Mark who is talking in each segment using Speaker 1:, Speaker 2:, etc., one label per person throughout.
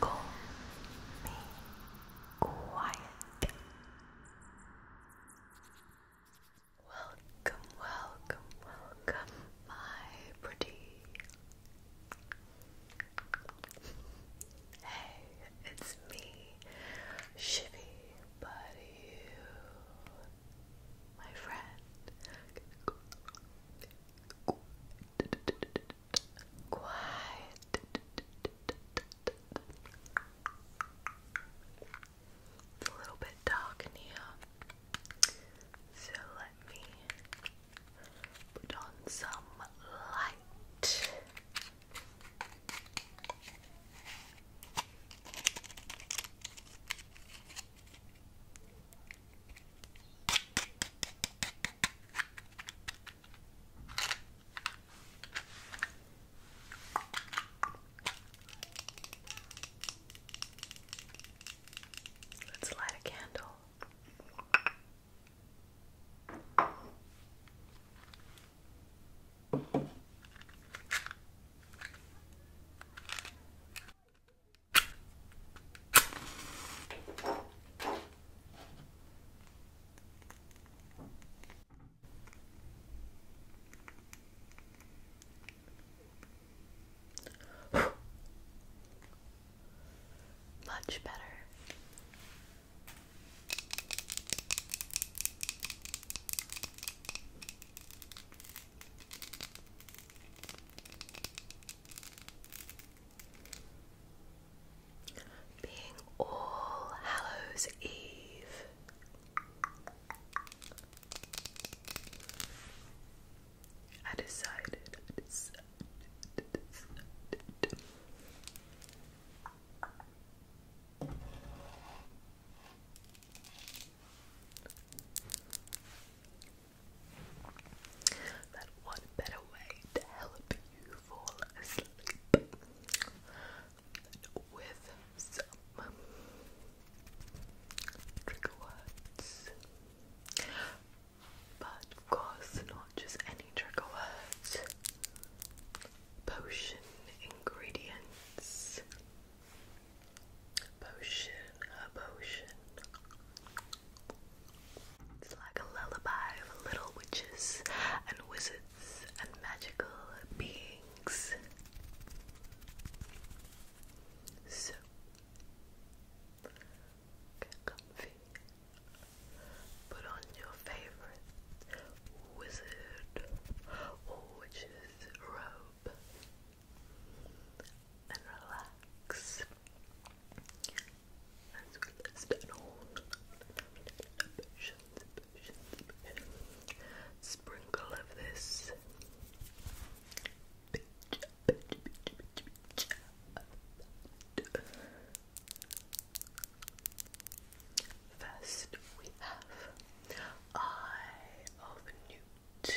Speaker 1: Call me quiet. Welcome, welcome, welcome, my pretty. Hey, it's me, Shivy, but my friend. Quiet. It's a little bit dark in here, so let me put on some light. Let's light a candle. Much better. Being All Hallows Eve. I decided, I decided, I decided. But what better way to help you fall asleep with some trigger words? But of course, not just any trigger words. Potion ingredients potion, a potion. It's like a lullaby of little witches and wizards and magical beings. So, comfy. Put on your favorite wizard or witch's robe and relax as we list sprinkle of this First, we have Eye of Newt.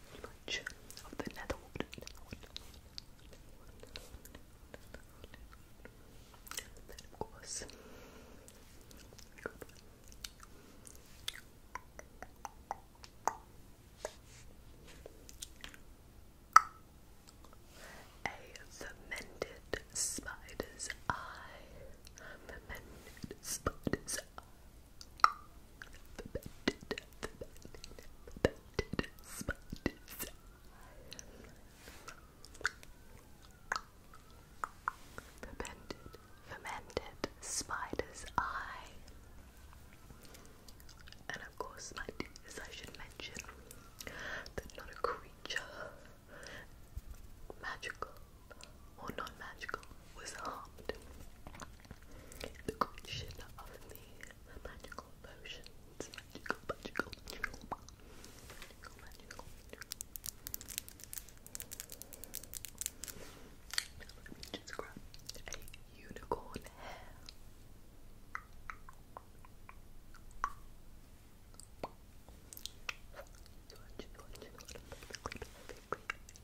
Speaker 1: much of the netherwood. And then, of course, a fermented spider's eye. Fermented spider's are fermented, fermented, fermented spiders. Fermented, spider's eye. And of course, my dears, I should mention that not a creature, magical or non magical, was harmed the creation of the magical potions. let me just grab a unicorn hair.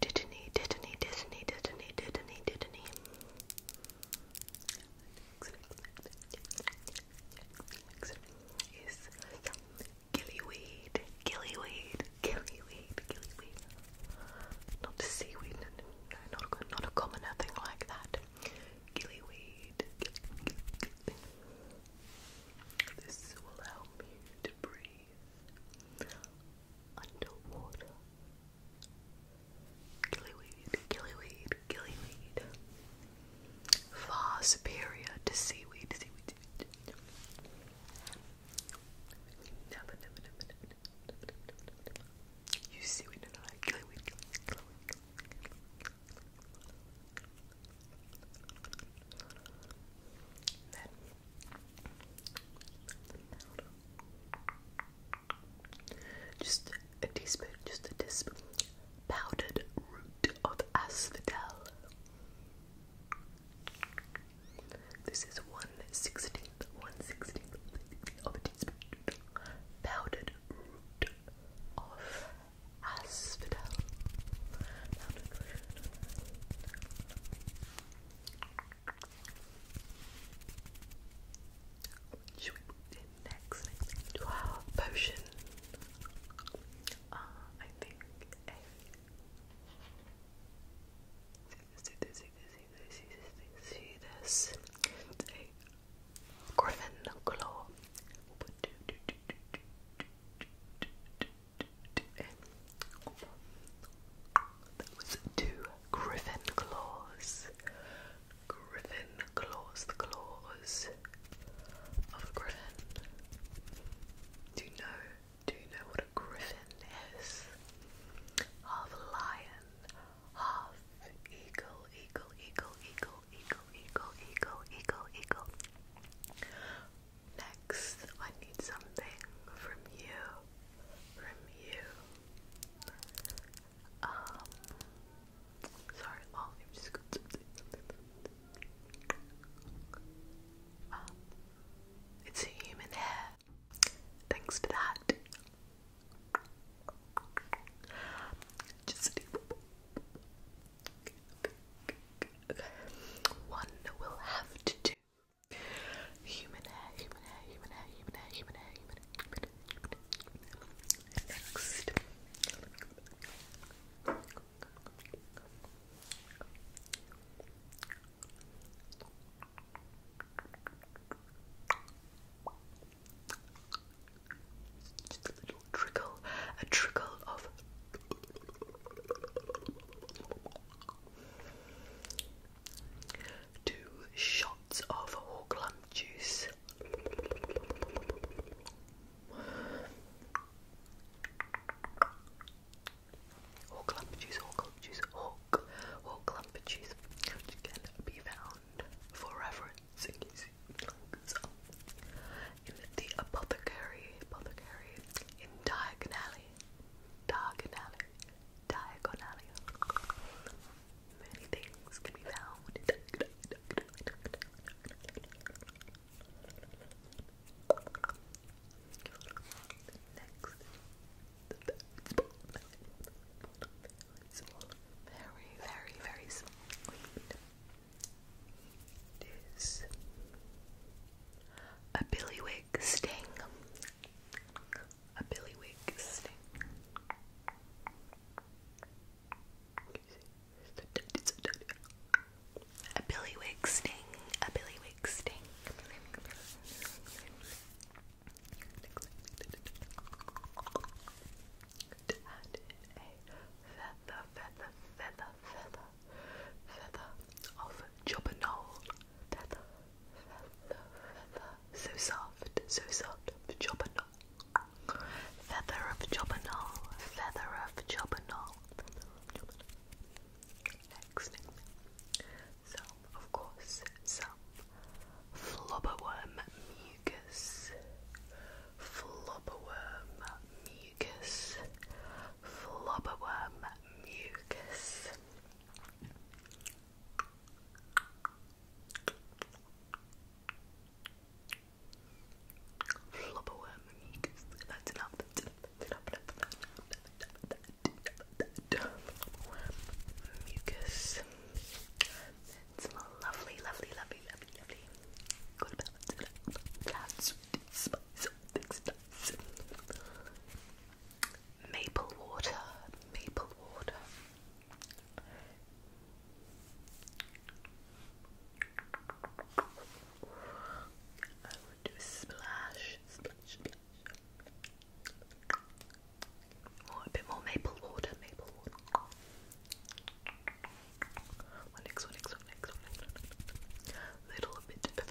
Speaker 1: Didn't he? Didn't he? Didn't he? Didn't he? Didn't he? Didn't he? Is gillyweed, gillyweed, gillyweed, gillyweed. Not seaweed, no, no, not a, not a common thing like that. Gillyweed. Gill, gill, gill. This will help you to breathe underwater. Gillyweed, gillyweed, gillyweed. Far superior to seaweed, seaweed, seaweed. Never, You seaweed, no, no, gillyweed, gillyweed, just a teaspoon, just a teaspoon. Powdered root of asphodel. This is one sixteenth, one sixteenth of a teaspoon. Powdered root of asphodel. Powdered root. What should we put next? next? Wow, potion. Uh, I think a. See this, see this, see this, see this, see this. A Griffin claw. We'll put two, two, two, two, two, two, two, two, that two griffin claws. Griffin claws, the claws of a griffin. Do you know? Do you know what a griffin is? Half a lion, half eagle, eagle, eagle, eagle, eagle, eagle, eagle, eagle, eagle. Next, I need something from you, from you. Um, sorry, oh, I'll just go um, it's a human hair. Thanks for that. Just one will have to do. Human hair, human hair, human hair, human hair, human hair, human hair, human hair, human hair, human hair. Next. Just a little trickle, a trickle of Two shots of hawk lung juice. Hawk lump juice, hawk lump juice, hawk, hawk lump juice, which can be found for reference in the apothecary, apothecary in Diagon diagonally, diagonally. Many things can be found. very, very, very small weed. It is a billywig sting. A billywig sting. A billywig sting. A billywig sting. Could add in a feather, feather, feather, feather feather of Jobbernowl. Feather, feather, feather. So soft, so soft of Feather of Jobbernowl, feather of Jobbernowl. Next. Some, of course, some flobberworm mucus. Flobberworm mucus. Flobberworm mucus. Flop a you That's enough. enough. enough. mucus. lovely, lovely, lovely, lovely, lovely. Good balance. That's maple water, maple water. I would do splash, splash, splash. a bit more maple water, maple water. What next, what next, what next, what next? Little bit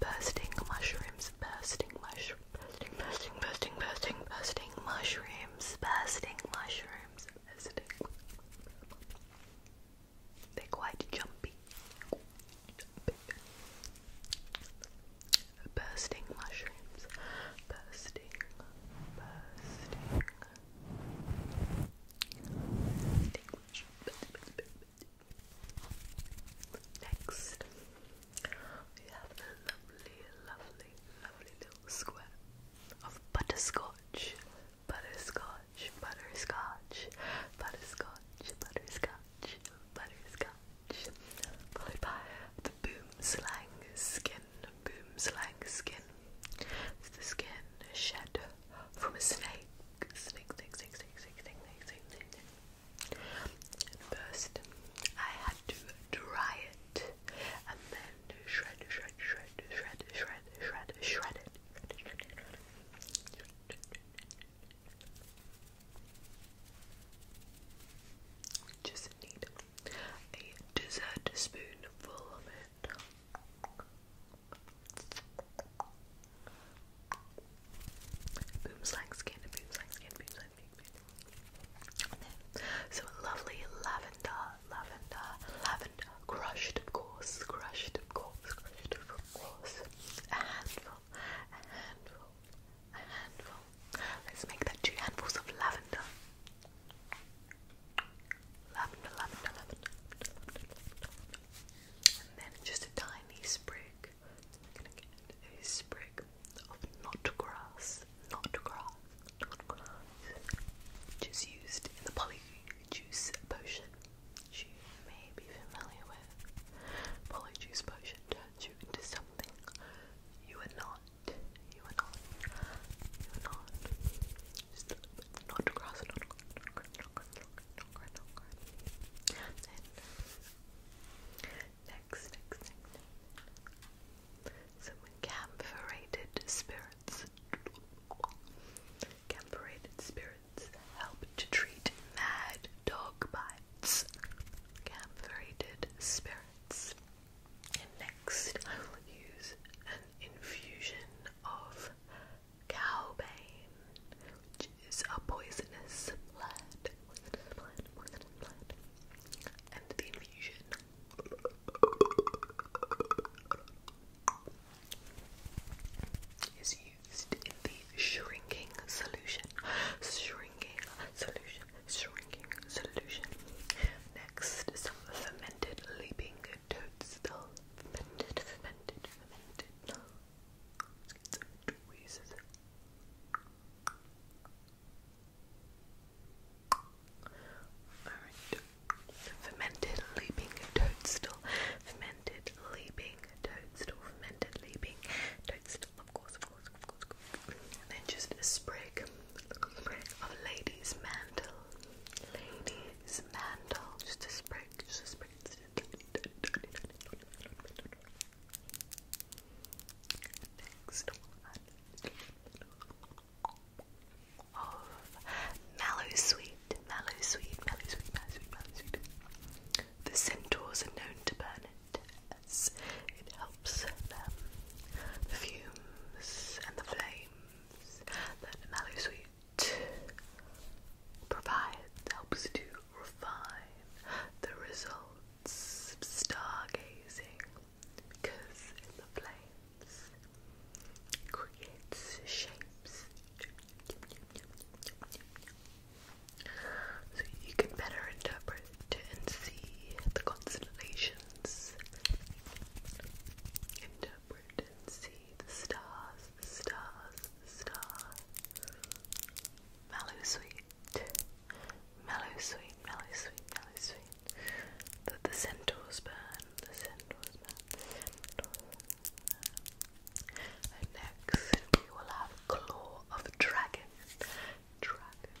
Speaker 1: Bursting mushrooms, bursting mushrooms, bursting, bursting, bursting, bursting, bursting mushrooms, bursting mushrooms, They're quite jumpy. Bursting mushrooms, bursting bursting. Next, we have a lovely, lovely, lovely little square of butterscotch, butterscotch, butterscotch, butterscotch, butterscotch, butterscotch, followed by boom slang skin. Boom slang skin. It's the skin shed from a snake. Snake, snake, snake, snake, snake, snake, snake, snake, snake, snake. first, I had to dry it and then shred, shred, shred, shred, shred, shred, shred it. Just need a dessert spoonful of it. Booms like skin, booms like skin, booms like skin. So lovely lavender, lavender, lavender, crushed of course, crushed of course, crushed of course. A handful, a handful, a handful, Let's make that two handfuls of lavender. Lavender, lavender, lavender, And then just a tiny sprig. a sprig of knot grass. Knot Which is used in the polyjuice potion. you may be familiar with. Polyjuice potion turns you into something you are not you are not, you are not. Just not cross, not cross, not cross, not cross, not cross, not cross, cross. Then, next, next, next. Some camphorated spirits. Camphorated spirits help to treat mad dog bites. Camphorated spirits next, I will use an infusion of cowbane, which is a poisonous plant. Poisonous plant, poisonous plant. And the infusion. Is used in the shrinking solution. Shrinking solution shrinking solution. Next, some fermented leaping toadstool. Fermented, fermented, fermented. some tweezers. Alright. Fermented leaping toadstool. Fermented leaping toadstool. Fermented leaping toadstool. Of course, of course, of course. Of course. And then just a sprig of Lady's Mantle. Lady's Mantle. Just a sprig, just a sprig. Next one. Of Mallow Sweet. Mallow Sweet, Mallow Sweet, Mallow Sweet, Mallow Sweet. The centaurs are known to burn it the fumes and the flames that Mallow Sweet provides helps to refine the results stargazing because in the flames creates shapes so you can better interpret and see the constellations oceans. And see the stars, the stars, the stars. Mellow sweet, mellow sweet, mellow sweet, mellow sweet. That the centaurs burn, the centaurs burn, the centaurs burn. And next we will have Claw of Dragon. Dragon,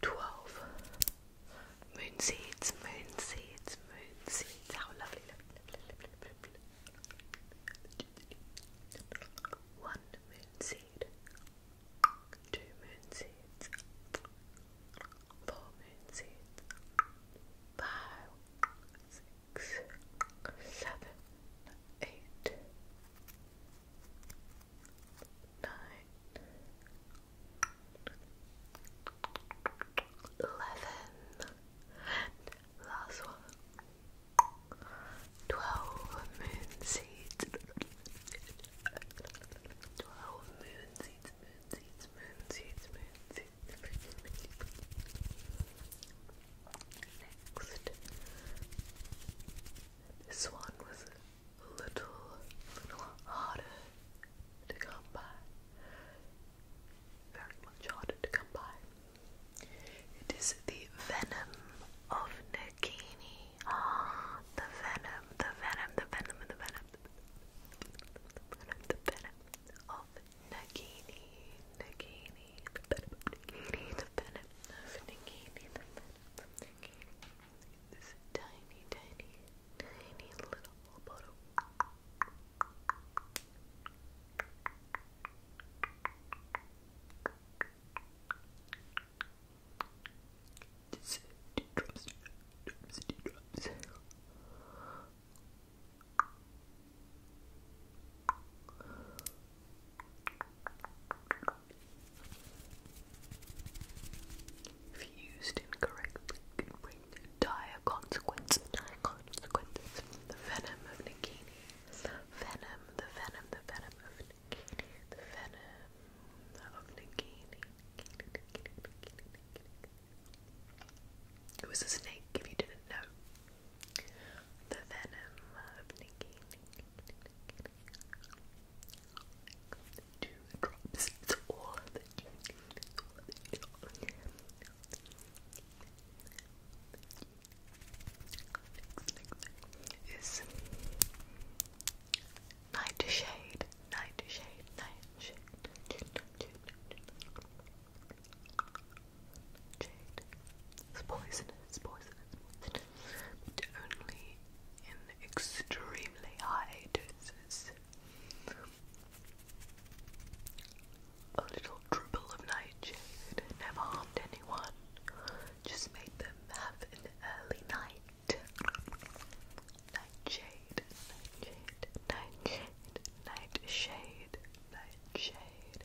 Speaker 1: 12, moon seeds, moon seeds, moon seeds. How lovely, lovely. One moon seed, two moon seeds, four moon seeds, five, six, seven, eight nine, eleven, and last one, twelve moon seeds, twelve moon seeds, moon seeds, moon seeds, moon seeds. Next, this one was a little, harder to come by. Very much harder to come by. It is the venom of Nagini. Ah, the venom, the venom, the venom, the venom, the venom, the venom the venom of Nagini, the venom Nagini, the venom thinking this tiny, tiny, tiny little bottle. Just drops, drops, drops. If used incorrectly, it can bring dire consequences. consequences. The venom of Nikini. Venom, the venom, the venom of Nikini. The venom of Nikini. It was a snake, if you didn't know. The venom of Nikini. Two drops. It's all that you It's all that you need. Next, next is night shade. Night shade. It's poisonous. It's poisonous. Poison but only in extremely high doses. A little dribble of nightshade never harmed anyone, just made them have an early night. Nightshade, nightshade, nightshade, nightshade, nightshade, nightshade,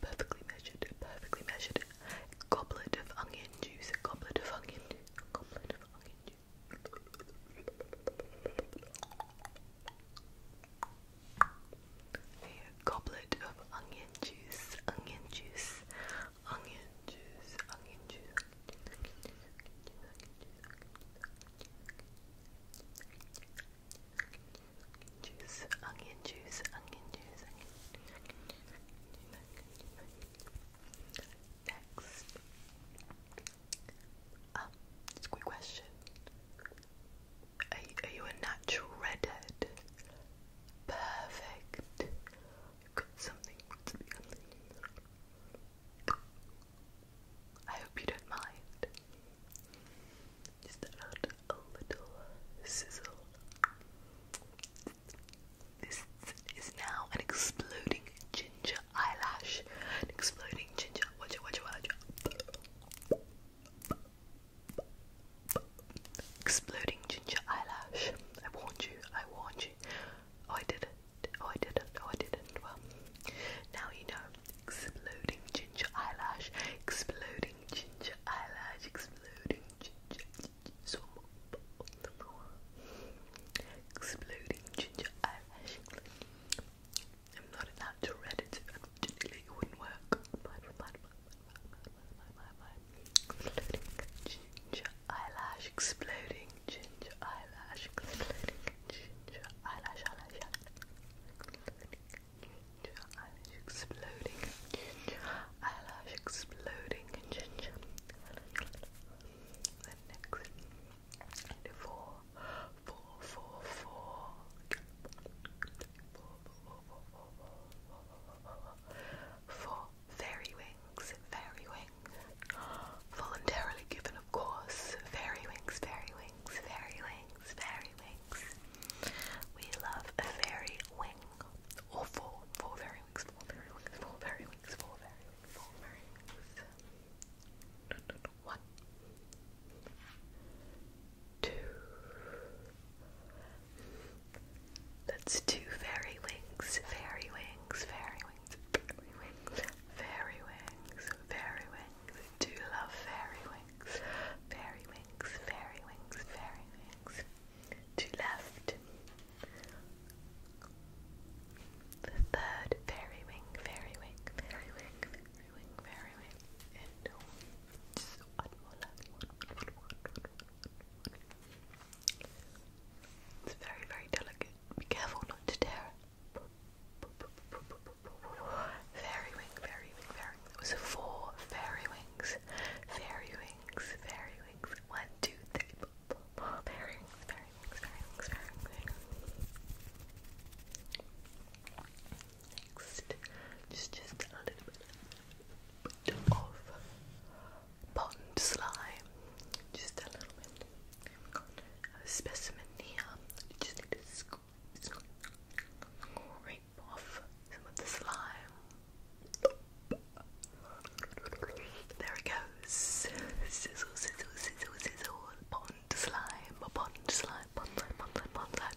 Speaker 1: Perfectly measured, perfectly measured. Goblet of onion juice, goblet of onion juice, goblet of onion juice. goblet of onion juice, onion juice, onion juice, onion juice, onion juice Juice, onion juice, onion juice, Next. Um, a quick question. Are you, a natural redhead? Perfect. got something to be I hope you don't mind. Just add a little sizzle. This is now an exploding ginger eyelash. An exploding ginger. Watch it, watch it, watch it. Exploding ginger eyelash. I warned you, I warned you. Oh, I did it. Oh, I didn't. Oh, I didn't. Well, now you know. Exploding ginger eyelash. Exploding ginger eyelash. Exploding ginger. Exploding ginger eyelash. I'm not an actual redditor. Unfortunately, it wouldn't work. Exploding ginger eyelash, exploding ginger eyelash, exploding eyelash, eyelash, eyelash, exploding, eyelash exploding, ginger. next and fairy wings, fairy wings wings. Voluntarily given, of course. Fairy wings, fairy wings, fairy wings, fairy wings. We love a fairy wing. Or four. Four fairy wings, four fairy wings, four fairy wings, four fairy four fairy wings. One. Two. That's two fairy wings, fairy wings, fairy wings, fairy wings, fairy wings, fairy wings. Do you love fairy wings? Fairy wings, fairy wings, fairy wings. To left. The third fairy wing, fairy wing, fairy wing, fairy wing, fairy wing. Oh, it's very, very delicate. Be careful not to tear Fairy wing, fairy wing, fairy wing. It was four fairy wings. Fairy wings, fairy wings. One, two, three. Fairy wings, fairy wings, fairy wings, fairy wings. Next, just just a little bit of pond slime. Just a little bit a specimen here. You just need to scoop, scrape off some of the slime. There it goes. Sizzle, sizzle, sizzle, sizzle. Pond slime, pond slime, pond pond pond slime.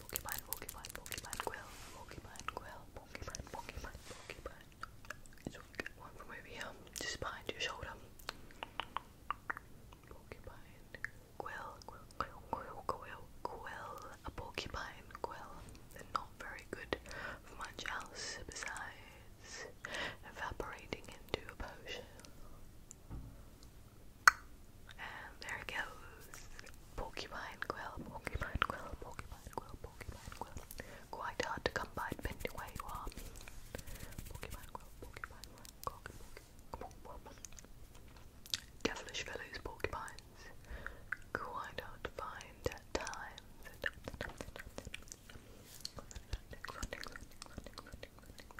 Speaker 1: Pokemon, Pokemon, Pokemon Quill, Pokemon Quill, Pokemon, Pokemon, Pokemon. So we get one from over here, just behind your shoulder. Pokemon, Quill, Quill, Quill, Quill, Quill, Quill, a Pokemon, Quill. They're not very good for much else besides evaporating into a potion. And there it goes. Porcupine quill, porcupine quill, porcupine quill, porcupine quill. Quite hard to come by depending where you are. Porcupine quill, porcupine quill, porcupine quill. Devilish fellows, porcupines. Quite hard to find at times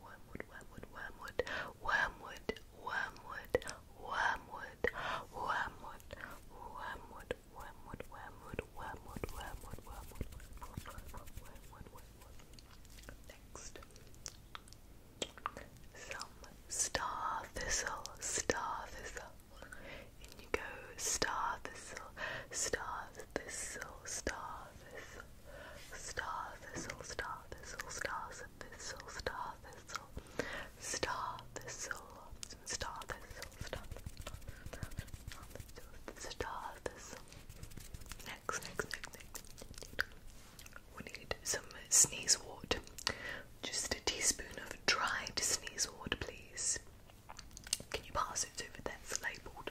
Speaker 1: wormwood, wormwood, wormwood, wormwood, wormwood, wormwood, wormwood, wormwood, wormwood, wormwood, wormwood, wormwood, wormwood, wormwood, Next, some star thistle, star thistle. In you go, star thistle, star thistle, star thistle. Star thistle, star thistle, star thistle, star thistle, star thistle, star thistle, star thistle, Next, next, next, next. We need some sneeze Just a teaspoon of dried sneezewort, please. Can you pass it over that's labelled?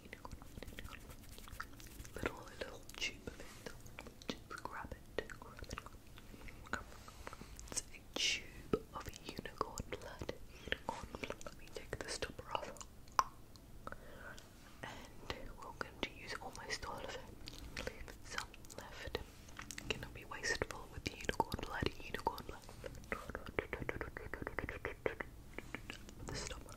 Speaker 1: Little, little tube Just grab it. It's a tube of unicorn blood. Unicorn blood. Let me take the stopper off. And we're going to use almost all of it. Leave some left. Cannot be wasteful with the unicorn blood. Unicorn blood. The stopper.